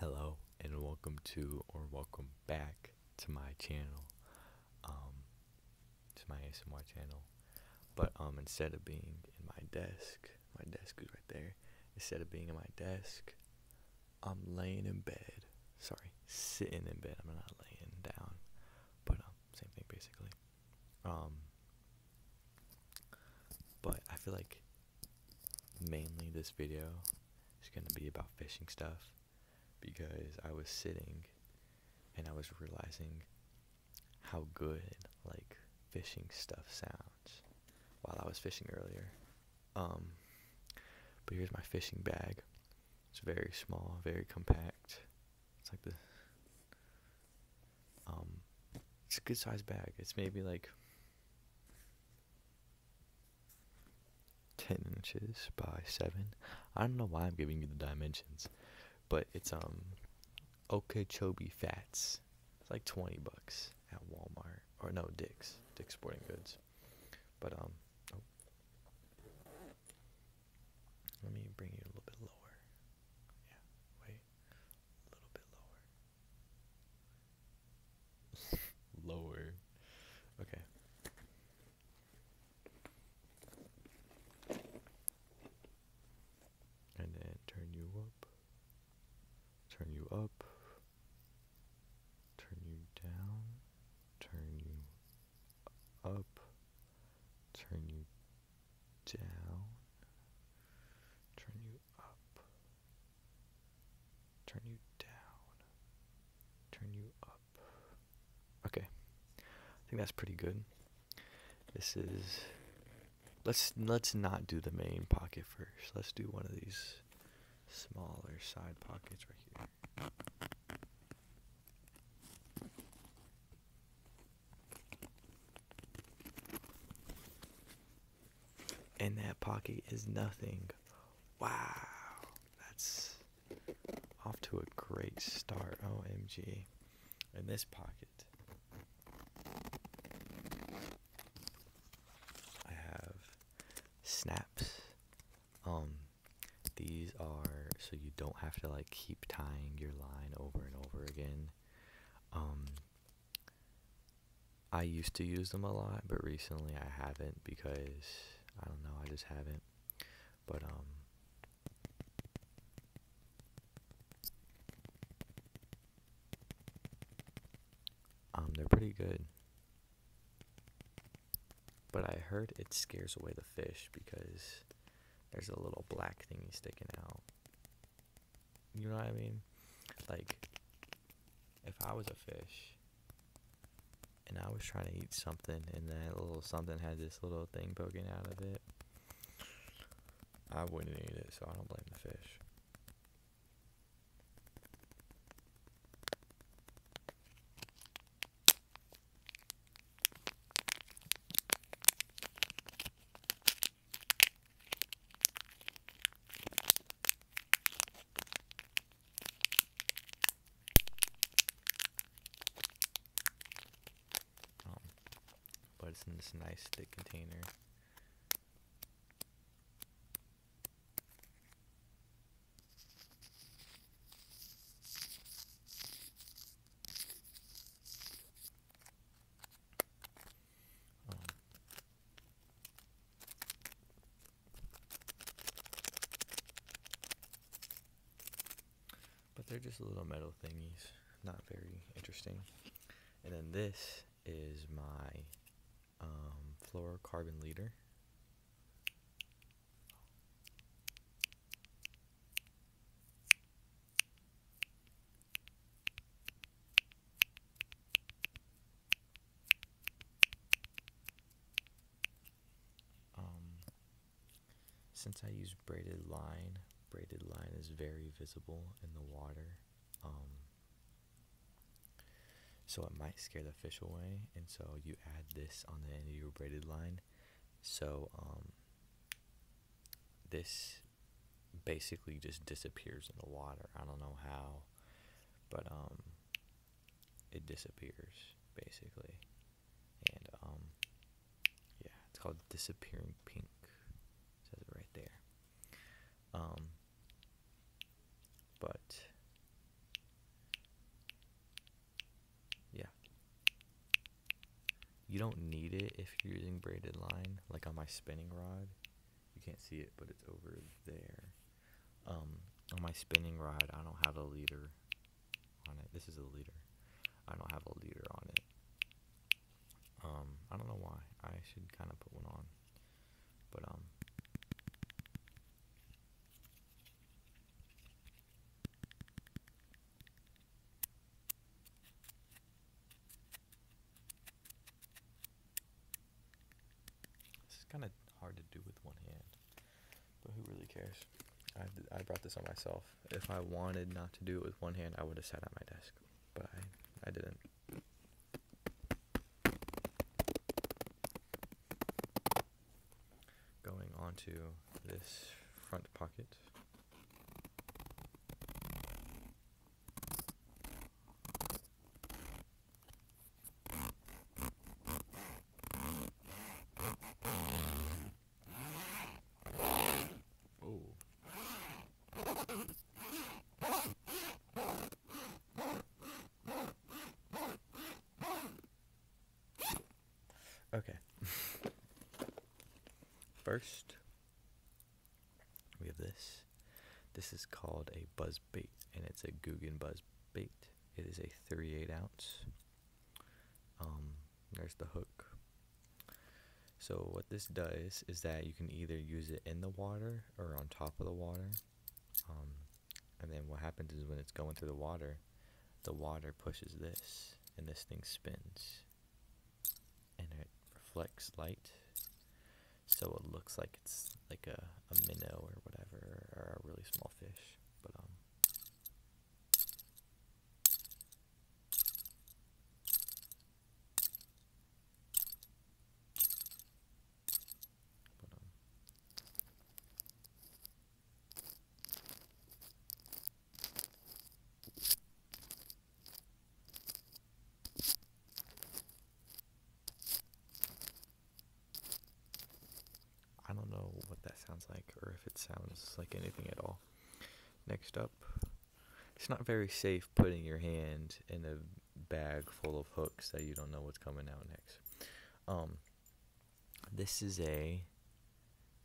Hello and welcome to or welcome back to my channel, um, to my ASMR channel. But um, instead of being in my desk, my desk is right there. Instead of being in my desk, I'm laying in bed. Sorry, sitting in bed. I'm not laying down, but um, same thing basically. Um, but I feel like mainly this video is going to be about fishing stuff because I was sitting and I was realizing how good like fishing stuff sounds while I was fishing earlier. Um, but here's my fishing bag. It's very small, very compact. It's like the um, it's a good sized bag. It's maybe like 10 inches by 7. I don't know why I'm giving you the dimensions, but it's um Okeechobee Fats. It's like 20 bucks at Walmart or no, Dick's, Dick's Sporting Goods. But um oh. Let me bring you a little bit lower. Yeah, wait. A little bit lower. Lower. Okay. And then turn you up. Turn you up. Turn you down. Turn you up. Turn you down. Turn you up, turn you down, turn you up. Okay, I think that's pretty good. This is. Let's let's not do the main pocket first. Let's do one of these smaller side pockets right here and that pocket is nothing. Wow, that's off to a great start. OMG. In this pocket, I have snaps. Um, these are so you don't have to like keep tying your line over and over again. Um, I used to use them a lot, but recently I haven't because I don't know, I just haven't. But um Um, they're pretty good. But I heard it scares away the fish because there's a little black thingy sticking out. You know what I mean? Like, if I was a fish and I was trying to eat something and that little something had this little thing poking out of it, I wouldn't eat it, so I don't blame the fish. Um, but it's in this nice thick container. Um, but they're just little metal thingies, not very interesting. And then this is my um, fluorocarbon leader. Um, since I use braided line, braided line is very visible in the water. Um, so it might scare the fish away, and so you add this on the end of your braided line. So um, this basically just disappears in the water. I don't know how, but it disappears basically, and um, yeah, it's called disappearing pink. It says it right there. Um, but yeah, you don't need it if you're using braided line, like on my spinning rod you can't see it, but it's over there. Um, on my spinning rod, I don't have a leader on it. This is a leader. I don't have a leader on it. Um, I don't know why. I should kind of put one on, but um. This is kind of hard to do with one hand, but who really cares? I, I brought this on myself. If I wanted not to do it with one hand, I would have sat at my desk, but I, I didn't. Going on to this front pocket. Oh. Okay. First, we have this. This is called a buzz bait, and it's a Googan buzz bait. It is a 38 ounce. Um, there's the hook. So what this does is that you can either use it in the water or on top of the water. Um, and then what happens is when it's going through the water, the water pushes this, and this thing spins, and it reflects light so it looks like it's like a, a minnow or whatever, or a really small fish. But um, um I don't know what that sounds like or if it sounds like anything at all. Next up, it's not very safe putting your hand in a bag full of hooks that you don't know what's coming out next. Um, this is a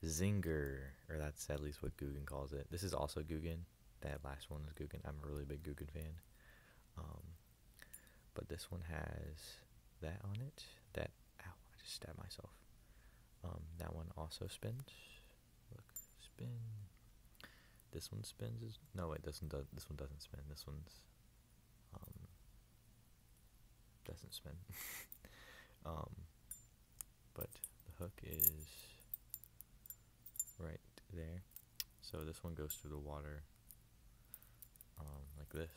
zinger, or that's at least what Googan calls it. This is also Googan. That last one is Googan. I'm a really big Googan fan. Um, but this one has that on it. That ow, I just stabbed myself. Um, that one also spins. Look, spin. This one spins. no, it doesn't. This one doesn't spin. This one's um, doesn't spin. Um, but the hook is right there. So this one goes through the water um, like this.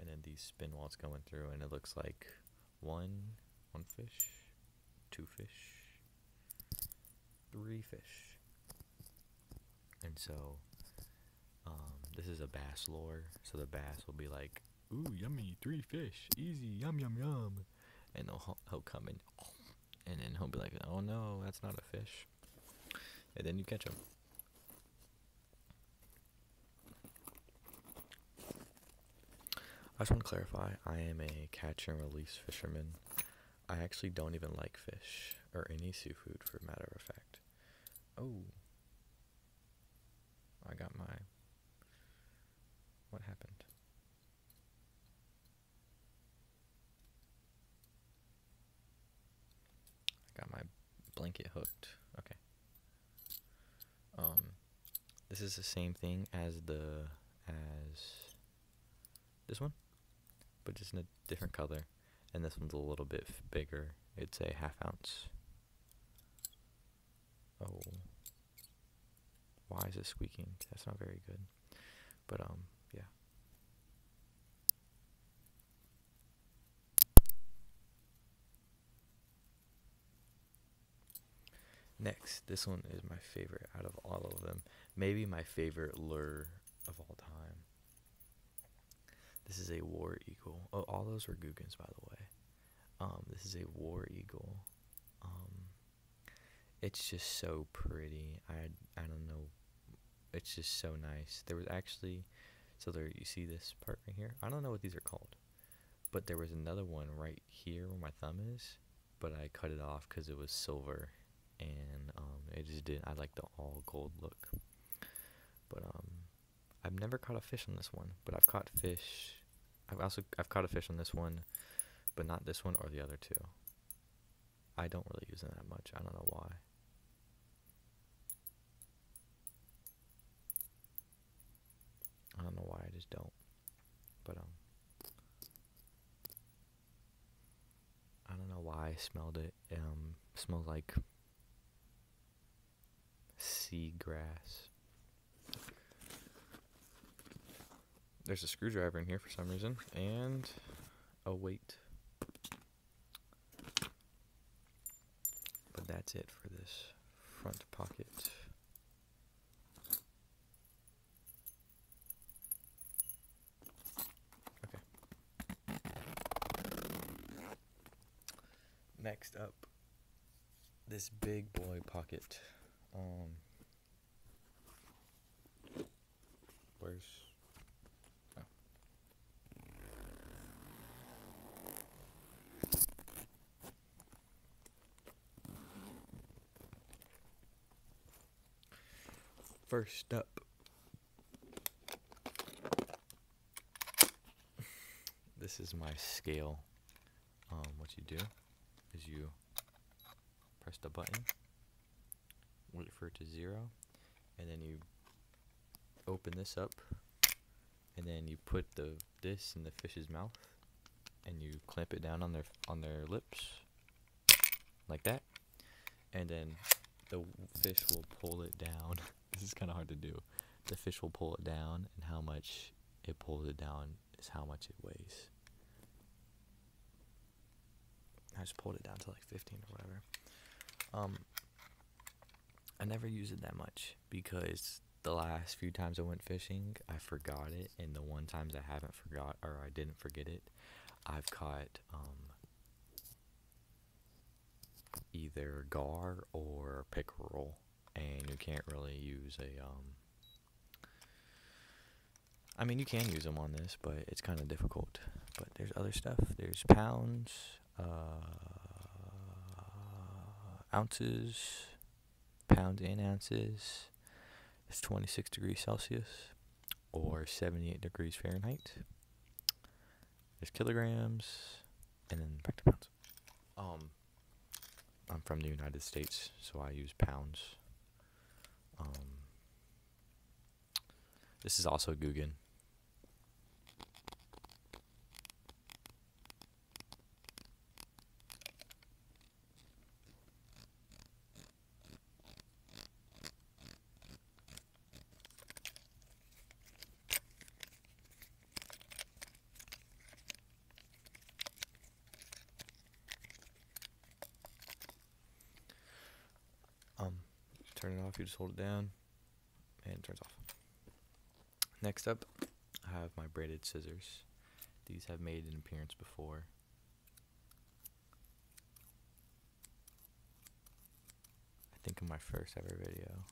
And then these spin walls going through and it looks like one, one fish, two fish, three fish. And so um, this is a bass lure. So the bass will be like, ooh, yummy, three fish, easy, yum, yum, yum. And they'll, he'll come in and then he'll be like, "Oh no, that's not a fish," and then you catch him. I just want to clarify. I am a catch and release fisherman. I actually don't even like fish or any seafood, for matter of fact. Oh, I got my. What happened? I got my blanket hooked. Okay. Um, this is the same thing as the as this one, but just in a different color. And this one's a little bit bigger. It's a half ounce. Oh. Why is it squeaking? That's not very good. But um, yeah. Next, this one is my favorite out of all of them. Maybe my favorite lure of all time. This is a war eagle. Oh, all those were Guggens, by the way. Um, this is a war eagle. Um, it's just so pretty. I I don't know. It's just so nice. There was actually so there you see this part right here. I don't know what these are called. But there was another one right here where my thumb is, but I cut it off cuz it was silver and um, it just didn't I like the all gold look. But um I've never caught a fish on this one, but I've caught fish. I've also I've caught a fish on this one, but not this one or the other two. I don't really use it that much. I don't know why. I don't know why I just don't. But um I don't know why I smelled it. Um it smells like seagrass. There's a screwdriver in here for some reason and await. Oh, but that's it for this front pocket. Okay. Next up, this big boy pocket. Um, Where's... Oh. First up, this is my scale. Um, what you do is you press the button wait for it to zero, and then you open this up, and then you put the this in the fish's mouth, and you clamp it down on their on their lips, like that, and then the fish will pull it down. this is kind of hard to do. The fish will pull it down, and how much it pulls it down is how much it weighs. I just pulled it down to like 15 or whatever. Um, I never use it that much because the last few times I went fishing, I forgot it, and the one times I haven't forgot or I didn't forget it, I've caught um, either gar or pickerel, and you can't really use a um, I mean, you can use them on this, but it's kind of difficult. But there's other stuff. There's pounds, uh, ounces, pounds in ounces. It's 26 degrees Celsius or 78 degrees Fahrenheit. There's kilograms, and then back to pounds. Um, I'm from the United States, so I use pounds. Um, this is also Guggen. Um, turn it off, you just hold it down, and it turns off. Next up, I have my braided scissors. These have made an appearance before. I think in my first ever video.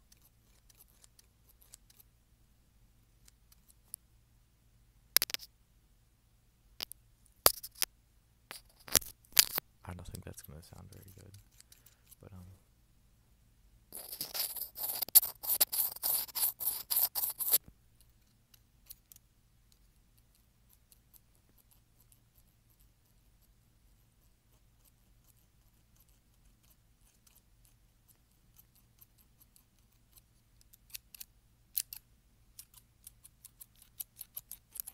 I don't think that's gonna sound very good, but um.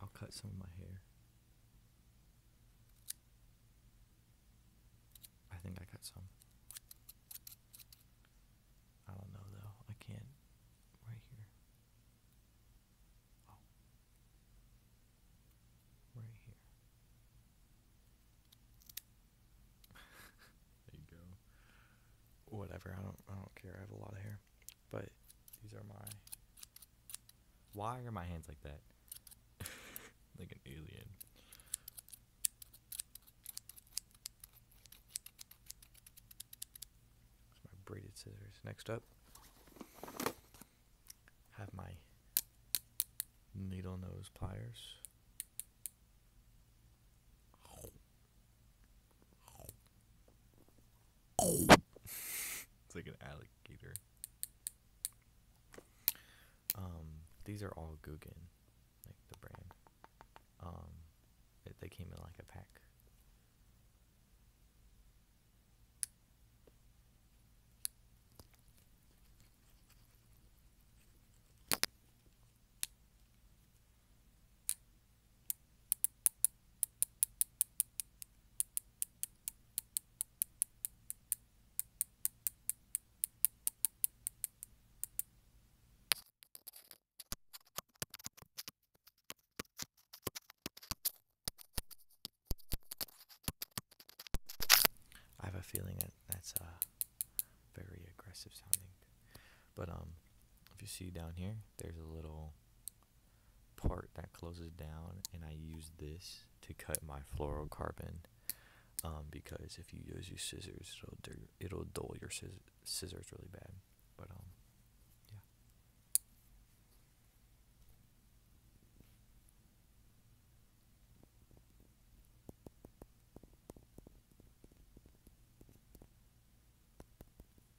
I'll cut some of my hair. I think I cut some. I don't know though. I can't. Right here. Oh. Right here. there you go. Whatever. I don't. I don't care. I have a lot of hair. But these are my. Why are my hands like that? like an alien. my braided scissors. Next up, have my needle nose pliers it's like an alligator. Um, these are all Guggen, like the brand. Um, they came in like a pack. I have a feeling that that's a very aggressive sounding. But um, if you see down here, there's a little part that closes down and I use this to cut my fluorocarbon um, because if you use your scissors it'll dull your scissors really bad but um, yeah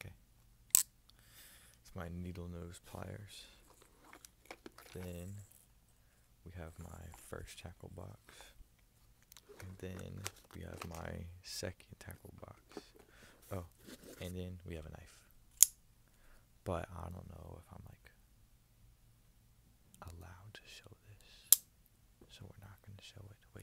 Okay. It's my needle nose pliers. Then we have my first tackle box. And then we have my second tackle box. Oh, and then we have a knife. But I don't know if I'm like allowed to show this. So we're not going to show it. Wait.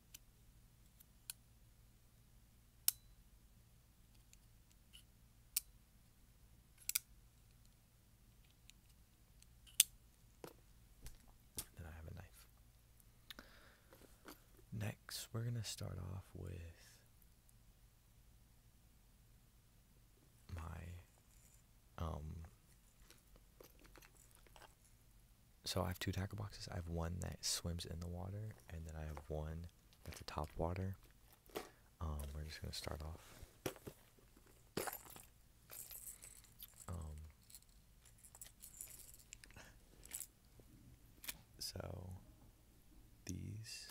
Then I have a knife. Next, we're going to start off with my um so I have two tackle boxes. I have one that swims in the water, and then I have one that's a top water. Um, we're just gonna start off. Um, so these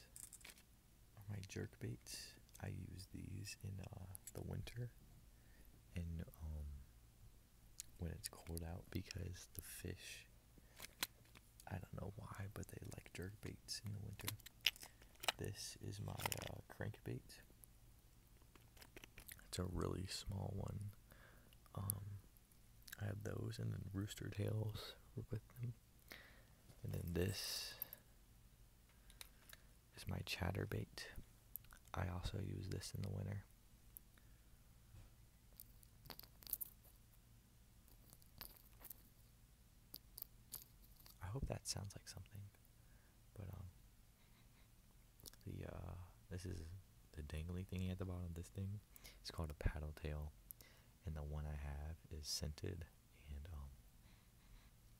are my jerk baits. I use these in uh, the winter in when it's cold out because the fish, I don't know why, but they like jerk baits in the winter. This is my uh, crankbait. It's a really small one. Um, I have those and then rooster tails with them. And then this is my chatter bait. I also use this in the winter. I hope that sounds like something, but um, the uh, this is the dangly thingy at the bottom of this thing. It's called a paddle tail, and the one I have is scented, and um,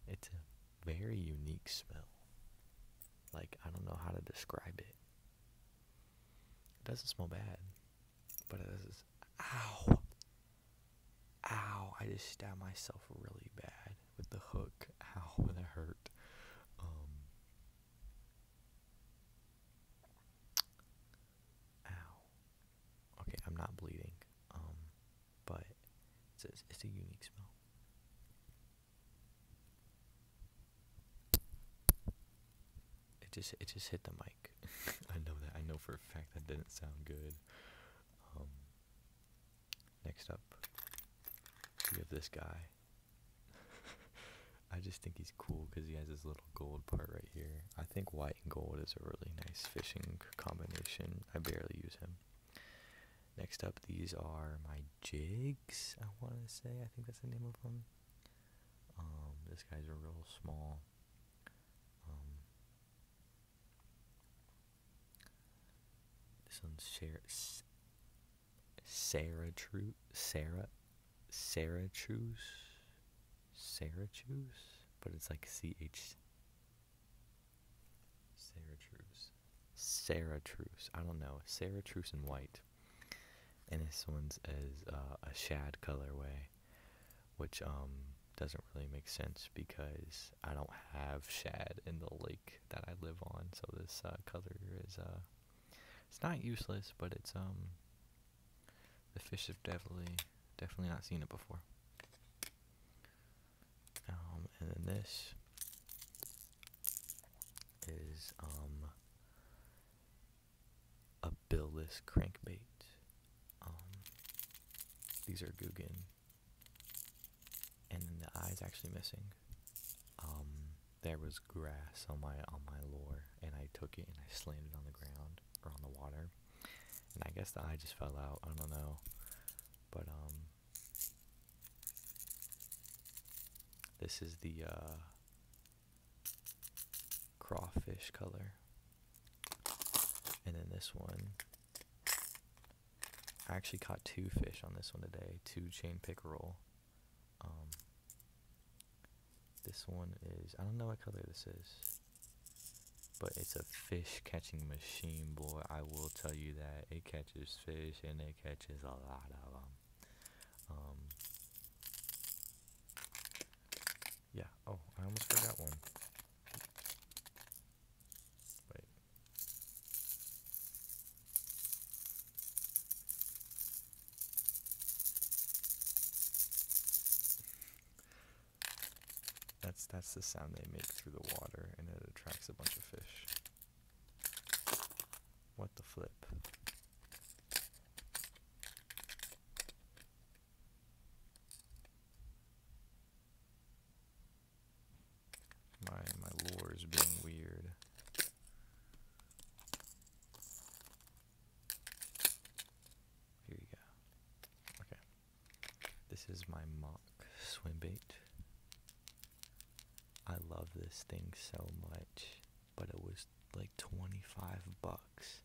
it's a very unique smell. Like I don't know how to describe it. It doesn't smell bad, but it does. Ow! Ow! I just stabbed myself really bad with the hook. Ow! it hurt. Um. Ow. Okay, I'm not bleeding. Um, but it's it's a unique smell. It just it just hit the mic. I know that. I know for a fact that didn't sound good. Um, next up, we have this guy. I just think he's cool because he has this little gold part right here. I think white and gold is a really nice fishing combination. I barely use him. Next up, these are my jigs, I want to say. I think that's the name of them. Um, this guy's a real small um, this one's Sarah, Sarah Sarah, Sarah Truce, Sarah Truce, but it's like C H. Sarah Truce, Sarah Truce. I don't know. Sarah Truce and White. And this one's is uh, a shad colorway, which um, doesn't really make sense because I don't have shad in the lake that I live on. So this uh, color is uh, it's not useless, but it's um, the fish have definitely definitely not seen it before. Um, and then this is um a billless crankbait. Um, these are Guggen, and then the eye's actually missing. Um, there was grass on my on my lure, and I took it and I slammed it on the ground or on the water, and I guess the eye just fell out. I don't know, but um, this is the uh, crawfish color. And then this one, I actually caught two fish on this one today, two chain pickerel. Um, this one is, I don't know what color this is, but it's a fish catching machine, boy. I will tell you that. It catches fish and it catches a lot of them. Um, yeah, oh, I almost forgot one. Wait. That's that's the sound they make through the water and it attracts a bunch of fish. What the flip? My, my lore is being weird. Here you go. Okay. This is my mock swim bait. I love this thing so much but it was like 25 bucks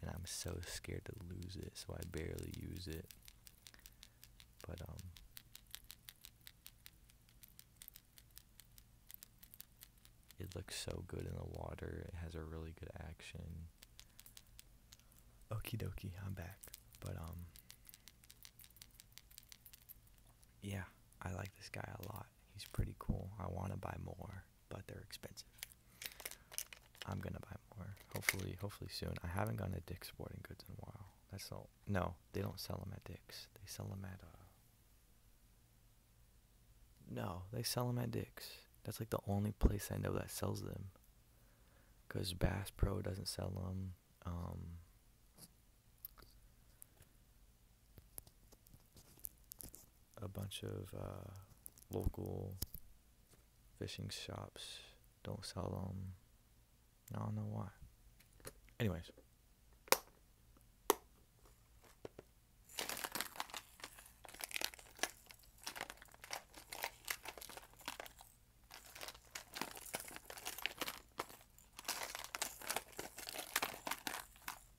and I'm so scared to lose it so I barely use it but um it looks so good in the water it has a really good action Okey dokey, I'm back but um yeah I like this guy a lot he's pretty cool I want to buy more but they're expensive. I'm gonna buy more. Hopefully, hopefully soon. I haven't gone to Dick's Sporting Goods in a while. That's all. No, they don't sell them at Dick's. They sell them at. Uh, no, they sell them at Dick's. That's like the only place I know that sells them. Cause Bass Pro doesn't sell them. Um, a bunch of uh, local fishing shops don't sell them. I don't know why. Anyways.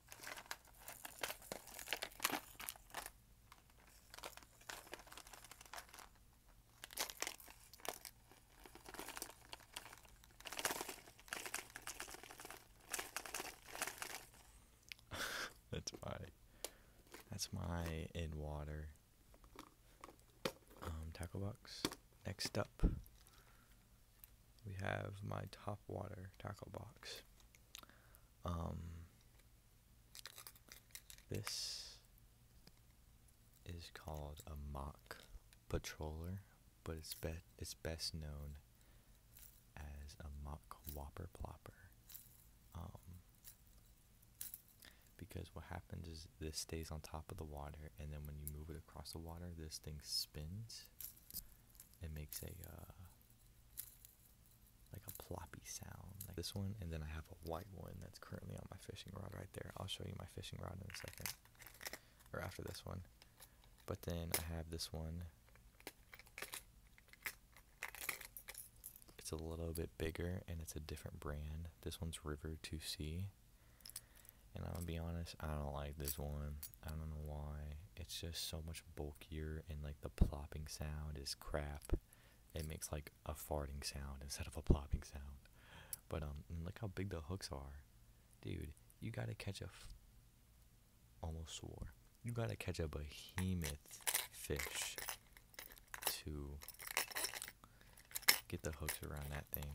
that's my that's my in water um, tackle box. Next up we have my top water tackle box. Um, this is called a mock patroller, but it's be it's best known as a mock whopper plopper. Um, because what happens is this stays on top of the water, and then when you move it across the water, this thing spins It makes a uh, like a ploppy sound like this one and then I have a white one that's currently on my fishing rod right there. I'll show you my fishing rod in a second or after this one. But then I have this one. It's a little bit bigger and it's a different brand. This one's River 2C. And I'm gonna be honest, I don't like this one. I don't know why. It's just so much bulkier, and like the plopping sound is crap. It makes like a farting sound instead of a plopping sound. But um, look how big the hooks are, dude. You gotta catch a. almost swore. You gotta catch a behemoth fish to get the hooks around that thing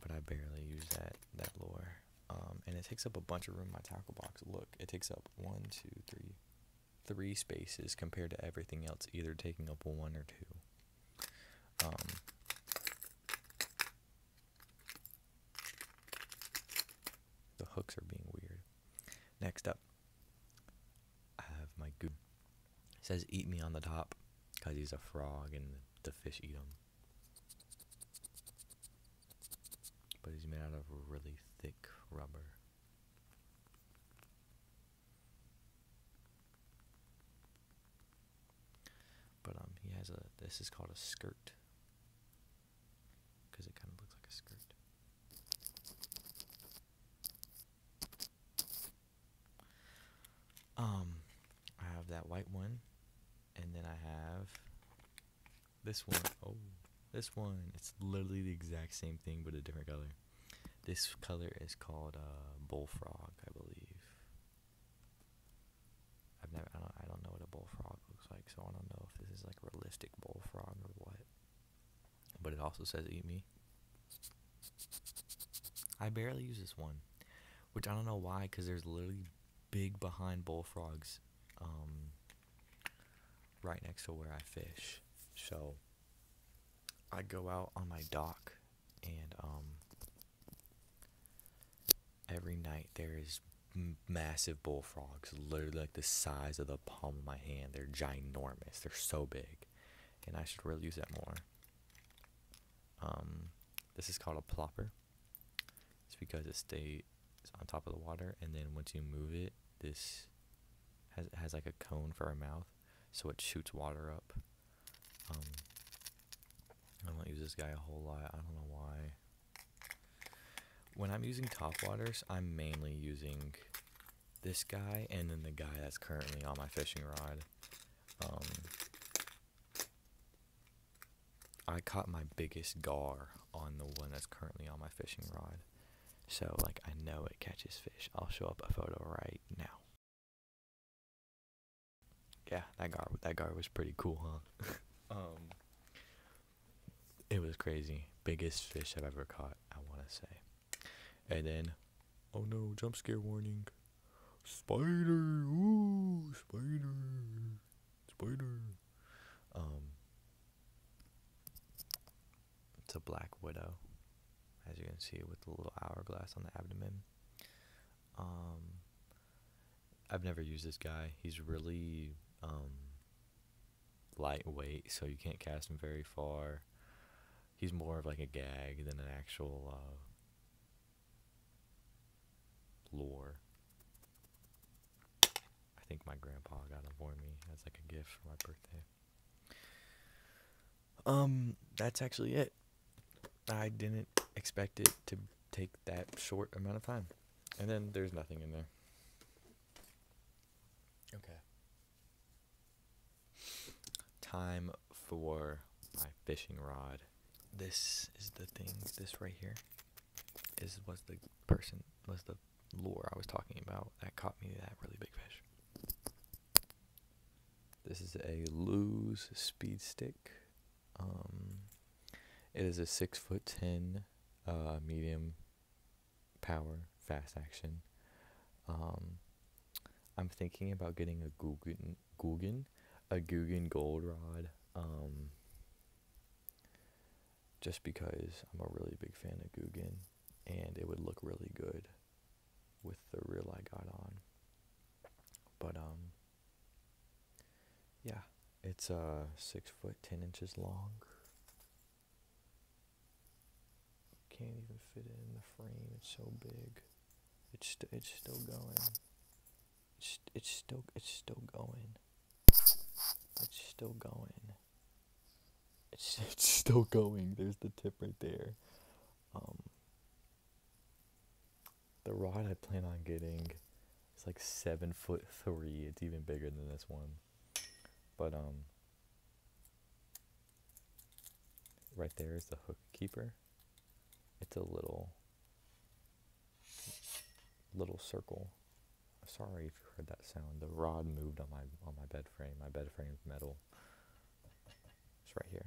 but I barely use that that lure. Um, and it takes up a bunch of room in my tackle box. Look, it takes up one, two, three, three spaces compared to everything else, either taking up one or two. Um, the hooks are being weird. Next up, I have my goon. says eat me on the top because he's a frog and the fish eat him. But he's made out of really thick rubber. But um, he has a. This is called a skirt. Because it kind of looks like a skirt. Um, I have that white one and then I have this one. Oh, this one. It's literally the exact same thing but a different color. This color is called uh, bullfrog, I believe. I've never. I don't. I don't know what a bullfrog looks like, so I don't know if this is like a realistic bullfrog or what. But it also says "eat me." I barely use this one, which I don't know why, because there's literally big behind bullfrogs um, right next to where I fish. So I go out on my dock and um, every night there is massive bullfrogs, literally like the size of the palm of my hand. They're ginormous. They're so big, and I should really use that more. Um, this is called a plopper. It's because it stays on top of the water, and then once you move it, this has has like a cone for a mouth, so it shoots water up. Um, I don't use this guy a whole lot. I don't know why. When I'm using top waters, I'm mainly using this guy and then the guy that's currently on my fishing rod. Um, I caught my biggest gar on the one that's currently on my fishing rod. So, like, I know it catches fish. I'll show up a photo right now. Yeah, that gar that gar was pretty cool, huh? um, it was crazy. Biggest fish I've ever caught, I want to say. And then, oh no, jump scare warning. Spider, ooh, spider. Spider. Um, it's a black widow, as you can see, with the little hourglass on the abdomen. Um, I've never used this guy. He's really um, lightweight, so you can't cast him very far. He's more of like a gag than an actual uh, Lore. I think my grandpa got them for me as like a gift for my birthday. Um, that's actually it. I didn't expect it to take that short amount of time. And then there's nothing in there. Okay. Time for my fishing rod this is the thing. This right here is was the person was the lure I was talking about that caught me that really big fish. This is a lose speed stick. Um, it is a six foot ten, uh, medium power, fast action. Um, I'm thinking about getting a Guggen, Guggen, a Guggen gold rod. Um, just because I'm a really big fan of Guggen, and it would look really good with the reel I got on. But um, yeah, it's a uh, six foot ten inches long. Can't even fit it in the frame. It's so big. It's it's still going. It's, still it's still going. It's still going. It's it's still going. There's the tip right there. Um, the rod I plan on getting is like seven foot three. It's even bigger than this one. But um, right there is the hook keeper. It's a little little circle. Sorry if you heard that sound. The rod moved on my on my bed frame. My bed frame's metal. It's right here.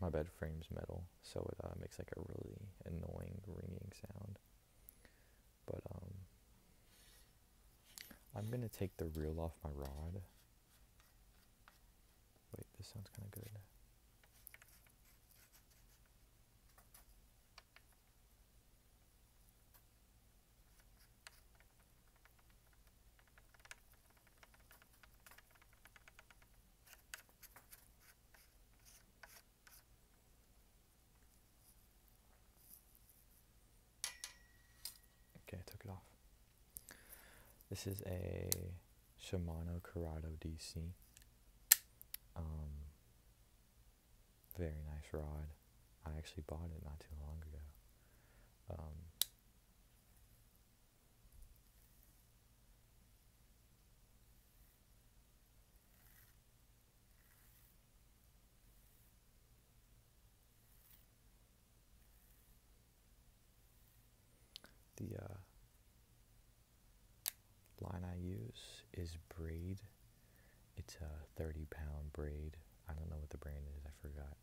My bed frame's metal, so it uh, makes like a really annoying ringing sound. But um, I'm gonna take the reel off my rod Wait, this sounds kind of good. Okay, took it off. This is a Shimano Corrado DC. Um, very nice rod. I actually bought it not too long ago. Um, the uh, line I use is braid. It's a 30 pound braid. I don't know what the brand is, I forgot.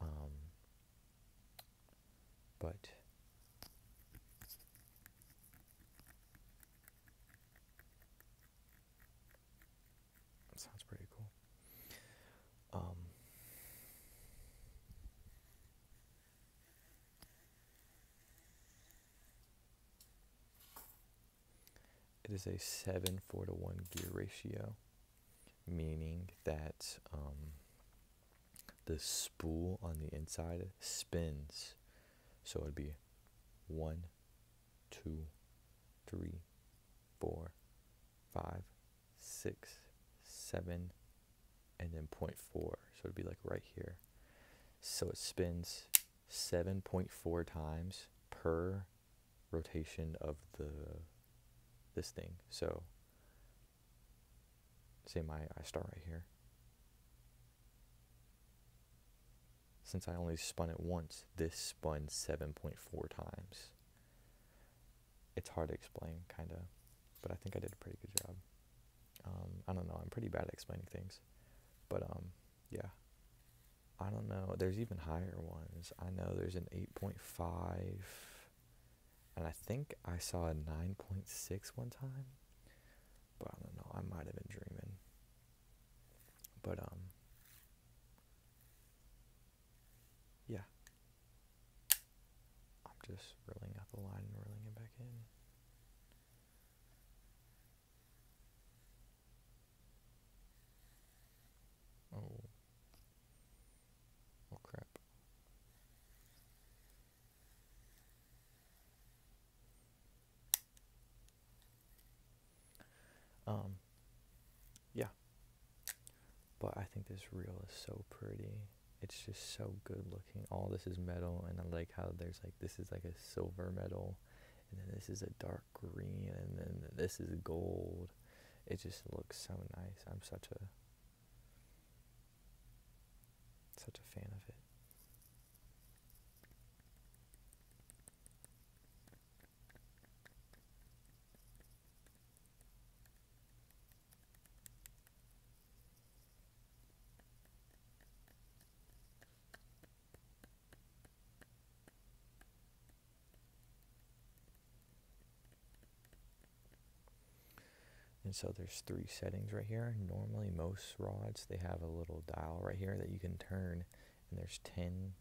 Um, but sounds pretty cool. Um, it is a 7 4 to 1 gear ratio, meaning that um, the spool on the inside spins. So it'd be one, two, three, four, five, six, seven, and then 0.4 so it'd be like right here so it spins 7.4 times per rotation of the this thing so say my I start right here since I only spun it once this spun 7.4 times it's hard to explain, kind of. But I think I did a pretty good job. Um, I don't know. I'm pretty bad at explaining things, but um, yeah. I don't know. There's even higher ones. I know there's an 8.5, and I think I saw a 9.6 one time. But I don't know. I might have been dreaming. But um, yeah. I'm just rolling out the line and rolling it back in. Oh. Oh crap. Um yeah. But I think this reel is so pretty. It's just so good looking. All this is metal, and I like how there's like this is like a silver metal, and then this is a dark green, and then this is gold. It just looks so nice. I'm such a such a fan of it. And so there's three settings right here. Normally most rods, they have a little dial right here that you can turn and there's 10,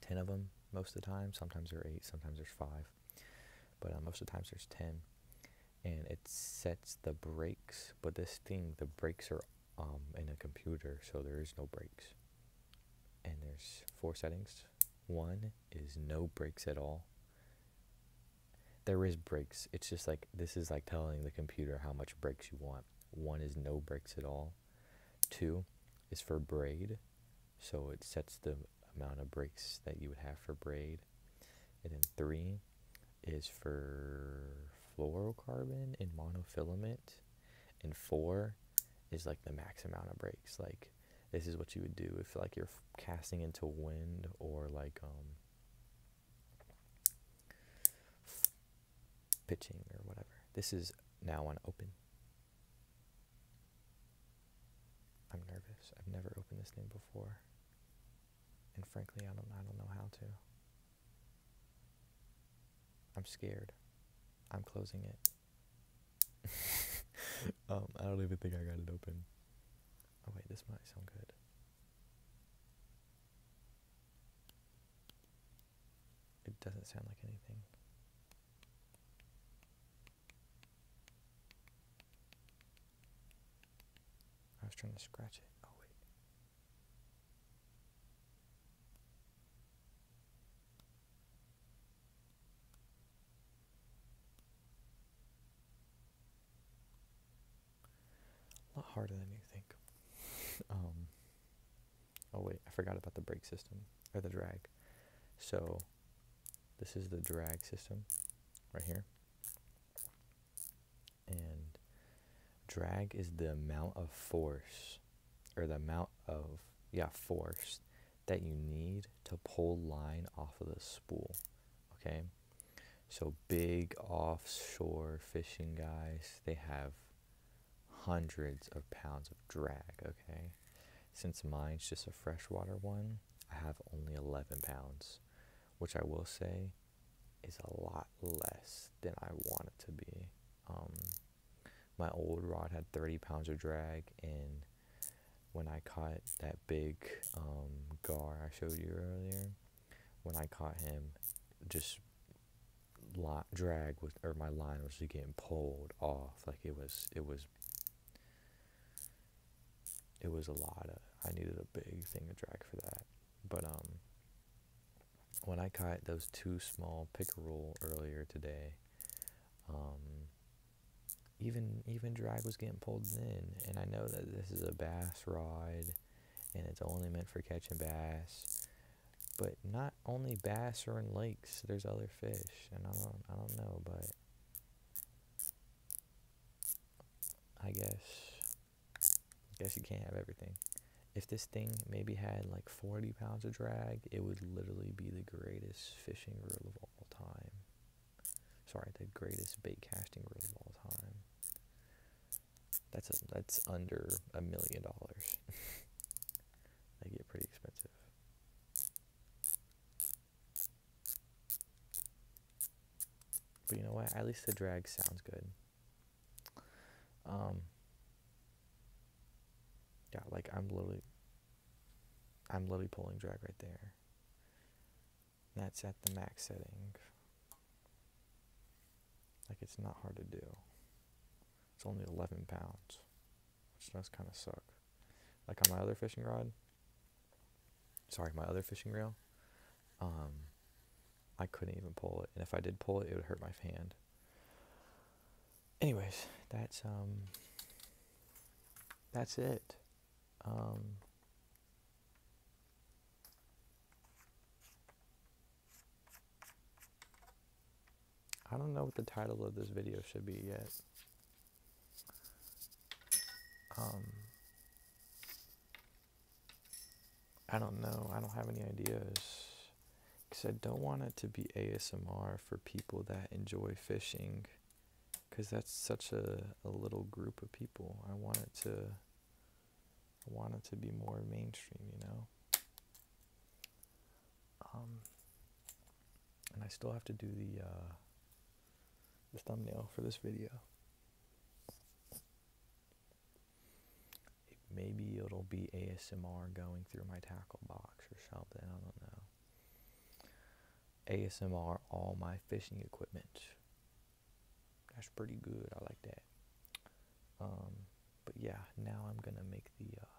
10 of them most of the time. Sometimes there are eight, sometimes there's five but um, most of the times there's ten, and it sets the breaks. But this thing, the breaks are um, in a computer, so there is no breaks. And there's four settings. One is no breaks at all. There is breaks. It's just like this is like telling the computer how much breaks you want. One is no breaks at all. Two is for braid, so it sets the amount of breaks that you would have for braid. And then three is for fluorocarbon and monofilament. And four is like the max amount of breaks. Like this is what you would do if like you're casting into wind or like um pitching or whatever. This is now on open. I'm nervous. I've never opened this thing before. And frankly, I don't, I don't know how to. I'm scared. I'm closing it. um, I don't even think I got it open. Oh wait, this might sound good. It doesn't sound like anything. I was trying to scratch it. Oh, wait. A lot harder than you think. um, oh, wait. I forgot about the brake system or the drag. So this is the drag system right here. And drag is the amount of force or the amount of, yeah, force that you need to pull line off of the spool, okay? So big offshore fishing guys, they have hundreds of pounds of drag, okay? Since mine's just a freshwater one, I have only 11 pounds, which I will say is a lot less than I want it to be. Um, my old rod had 30 pounds of drag, and when I caught that big um, gar I showed you earlier, when I caught him, just drag was or my line was just getting pulled off like it was it was it was a lot of I needed a big thing to drag for that. But um, when I caught those two small pickerel earlier today, um, even even drag was getting pulled in and I know that this is a bass rod and it's only meant for catching bass. But not only bass are in lakes, there's other fish and I don't I don't know but I guess, guess you can't have everything. If this thing maybe had like 40 pounds of drag, it would literally be the greatest fishing reel of all time. Sorry, the greatest bait casting reel of all time. That's a, that's under a million dollars. They get pretty expensive. But you know what? At least the drag sounds good. Um, yeah, like I'm literally, I'm literally pulling drag right there. That's at the max setting. Like it's not hard to do. It's only 11 pounds, which does kind of suck. Like on my other fishing rod, sorry, my other fishing reel, um, I couldn't even pull it. And if I did pull it, it would hurt my hand. Anyways, that's, um, that's it. Um, I don't know what the title of this video should be yet. Um, I don't know. I don't have any ideas. Because I don't want it to be ASMR for people that enjoy fishing. Because that's such a, a little group of people. I want it to. I want it to be more mainstream, you know? Um, and I still have to do the. Uh, the thumbnail for this video. maybe it'll be ASMR going through my tackle box or something. I don't know. ASMR all my fishing equipment. That's pretty good. I like that. Um, but yeah, now I'm gonna make the uh,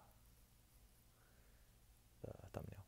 the thumbnail.